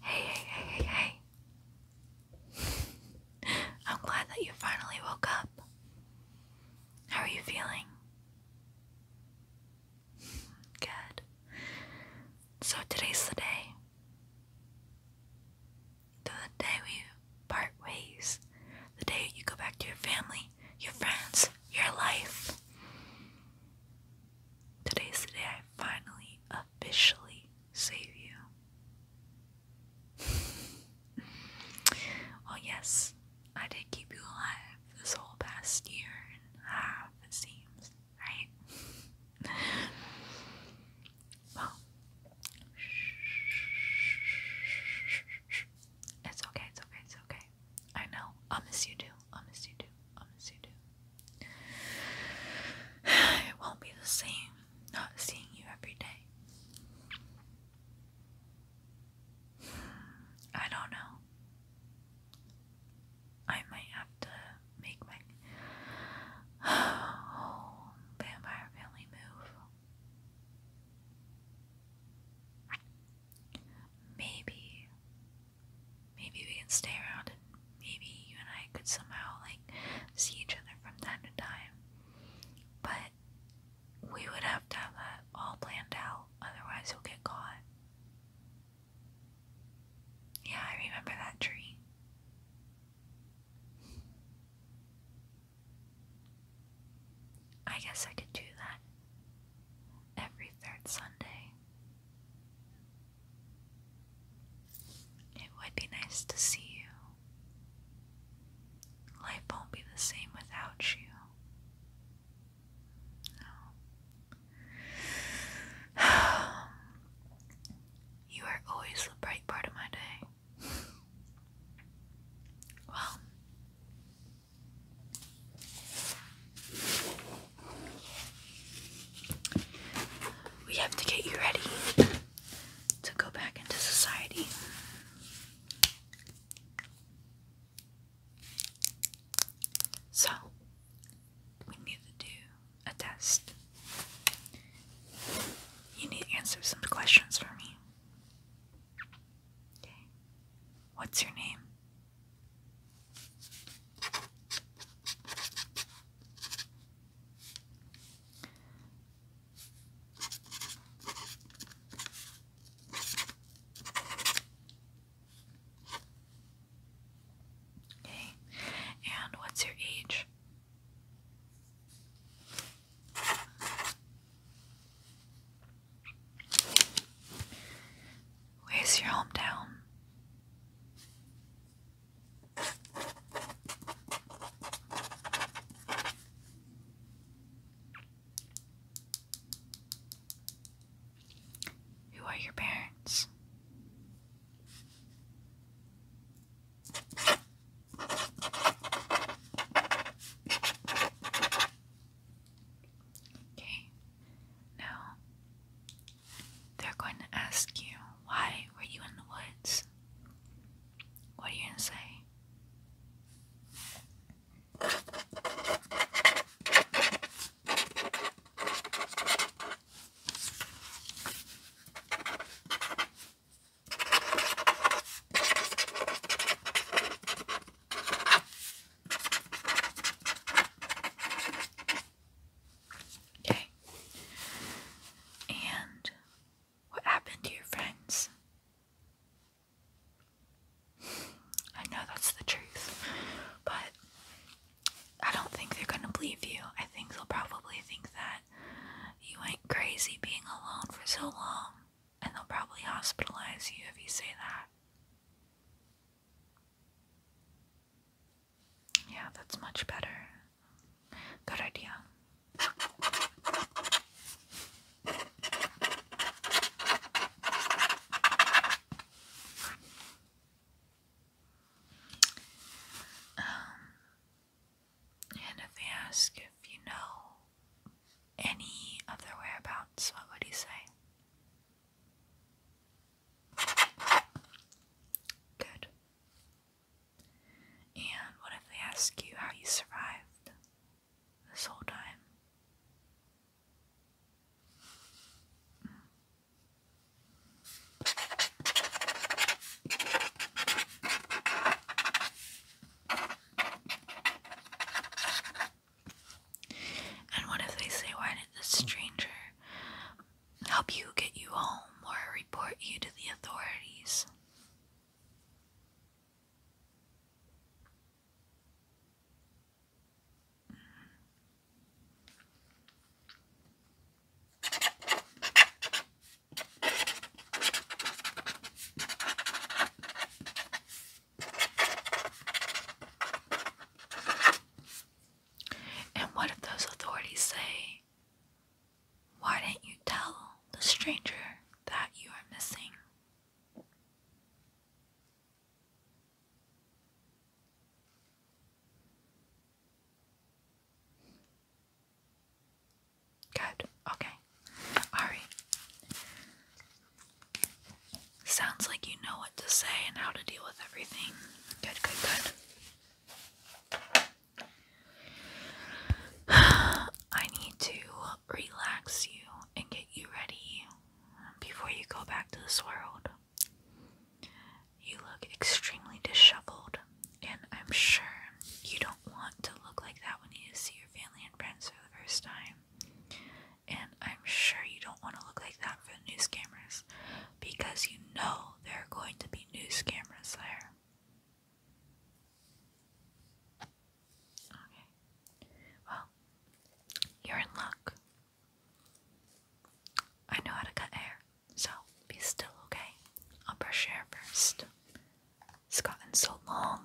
Hey, hey, hey, hey, hey. I'm glad that you finally woke up. How are you feeling? Good. So today's the day. The day we part ways the day you go back to your family, your friends, your life. Today's the day I finally officially save you. well, yes, I did keep you alive this whole past year and a half, it seems, right? well, it's okay, it's okay, it's okay. I know. I miss you too. I miss you too. I miss you too. It won't be the same not seeing you every day. Hmm, I don't know. I might have to make my oh, vampire family move. Maybe, maybe we can stay around maybe you and I could somehow like see each other from time to time. But we would have to have that all planned out, otherwise you'll get caught. Yeah, I remember that tree. I guess I could do that every third Sunday. It would be nice to see you. Life won't be the same without you. No. you are always the bright part of my day. Well, we have to get you ready to go back into society. So, we need to do a test. You need to answer some questions for me. What's your name? Okay. And what's your age? Where's your hometown? Who are your parents? Okay, now they're going to ask you, why were you in the woods? What are you going to say? Okay. And what happened to your friends? I know that's the truth, but I don't think they're going to believe you. I think they'll probably think that you went crazy being alone for so long, and they'll probably hospitalize you if you say that. Yeah, that's much better. Good idea. Um, and if they ask if you know any other whereabouts, what would you say? Good. And what if they ask you how you survived this whole time? Hmm. And what if they say, Why did the stranger help you get you home or report you to the authorities? And what if those authorities say, Why didn't you tell the stranger that you are missing? Good. Okay. All right. Sounds like you know what to say and how to deal with everything. Good, good, good. I need to relax you and get you ready before you go back to this world. You look extremely disheveled, and I'm sure you don't want to look like that when you see your family and friends for the first time. And I'm sure you don't want to look like that for the news cameras because you know there are going to be news cameras there. Okay. Well, you're in luck. I know how to cut hair. So be still, okay? I'll brush your hair first. It's gotten so long.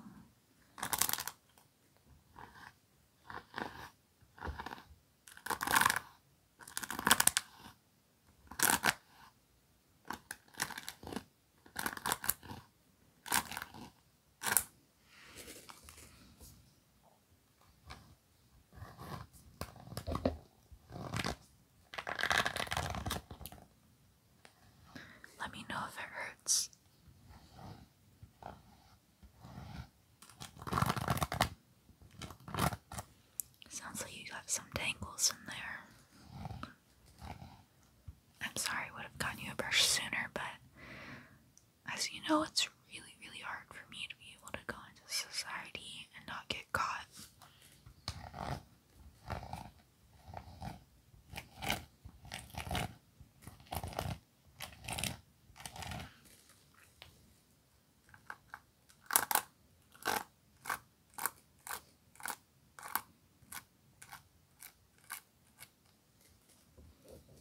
Let me know if it hurts. Sounds like you got some tangles in there. I'm sorry, I would have gotten you a brush sooner, but as you know, it's really, really hard for me to be able to go into society and not get caught.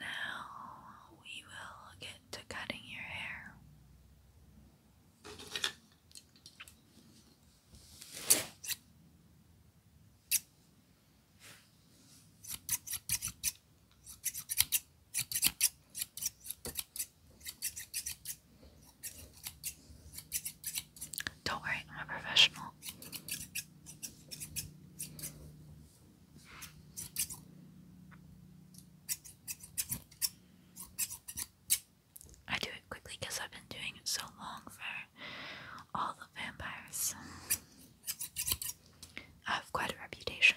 Now we will get to cutting your hair. Don't worry, I'm a professional. I do it quickly because I've been doing it so long for all the vampires. I have quite a reputation.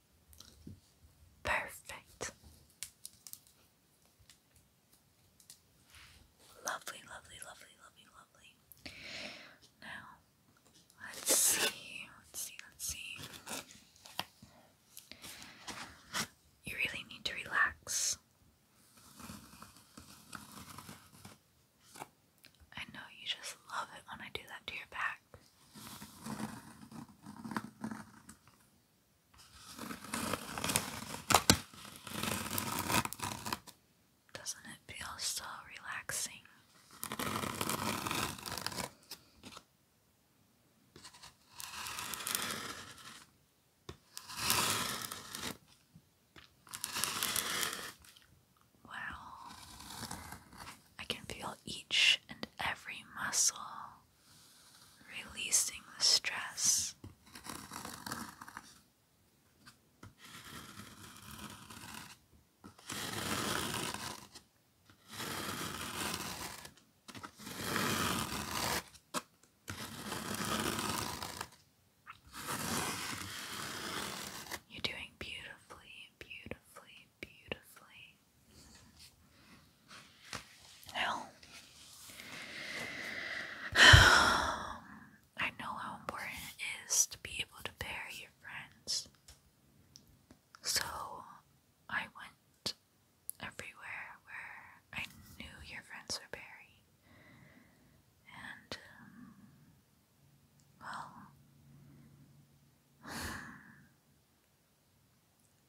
Perfect. Lovely, lovely, lovely, lovely, lovely. Now, let's see, let's see, let's see. You really need to relax. I know you just love it when I do that to your back. Doesn't it feel so relaxing? Wow, I can feel each and every muscle releasing the stress. You're doing beautifully, beautifully, beautifully. Well, I know how important it is to be able to bear your friends. So I went everywhere where I knew your friends were buried. And, um, well,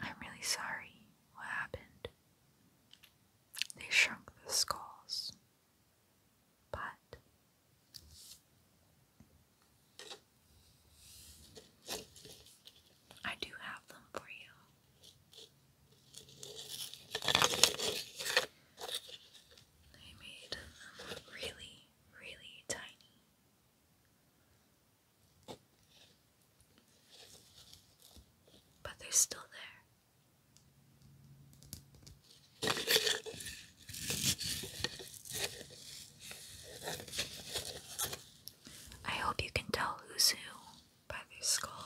I'm really sorry what happened. They shrunk the skulls. But I do have them for you. They made really, really tiny. But they're still there. I hope you can tell who's who by their skull.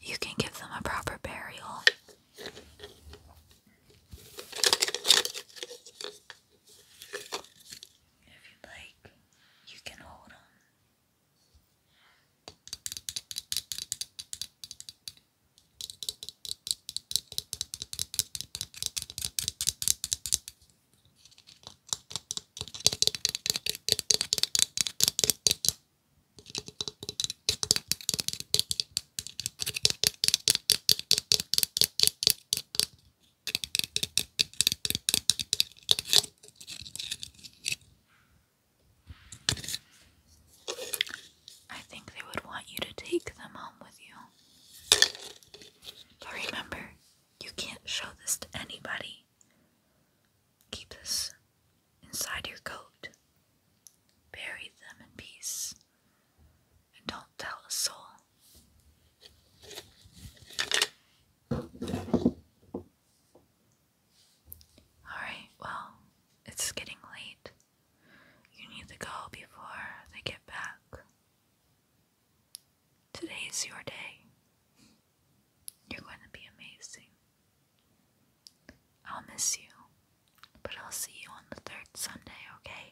You can give them a proper burial. If you'd like, you can hold them. I think they would want you to take them home with you. But remember, you can't show this to anybody. Keep this inside your coat. Bury them in peace. And don't tell a soul. Alright, well, it's getting late. You need to go before they get back. Today is your day. You're going to be amazing. I'll miss you, but I'll see you on the third Sunday, okay?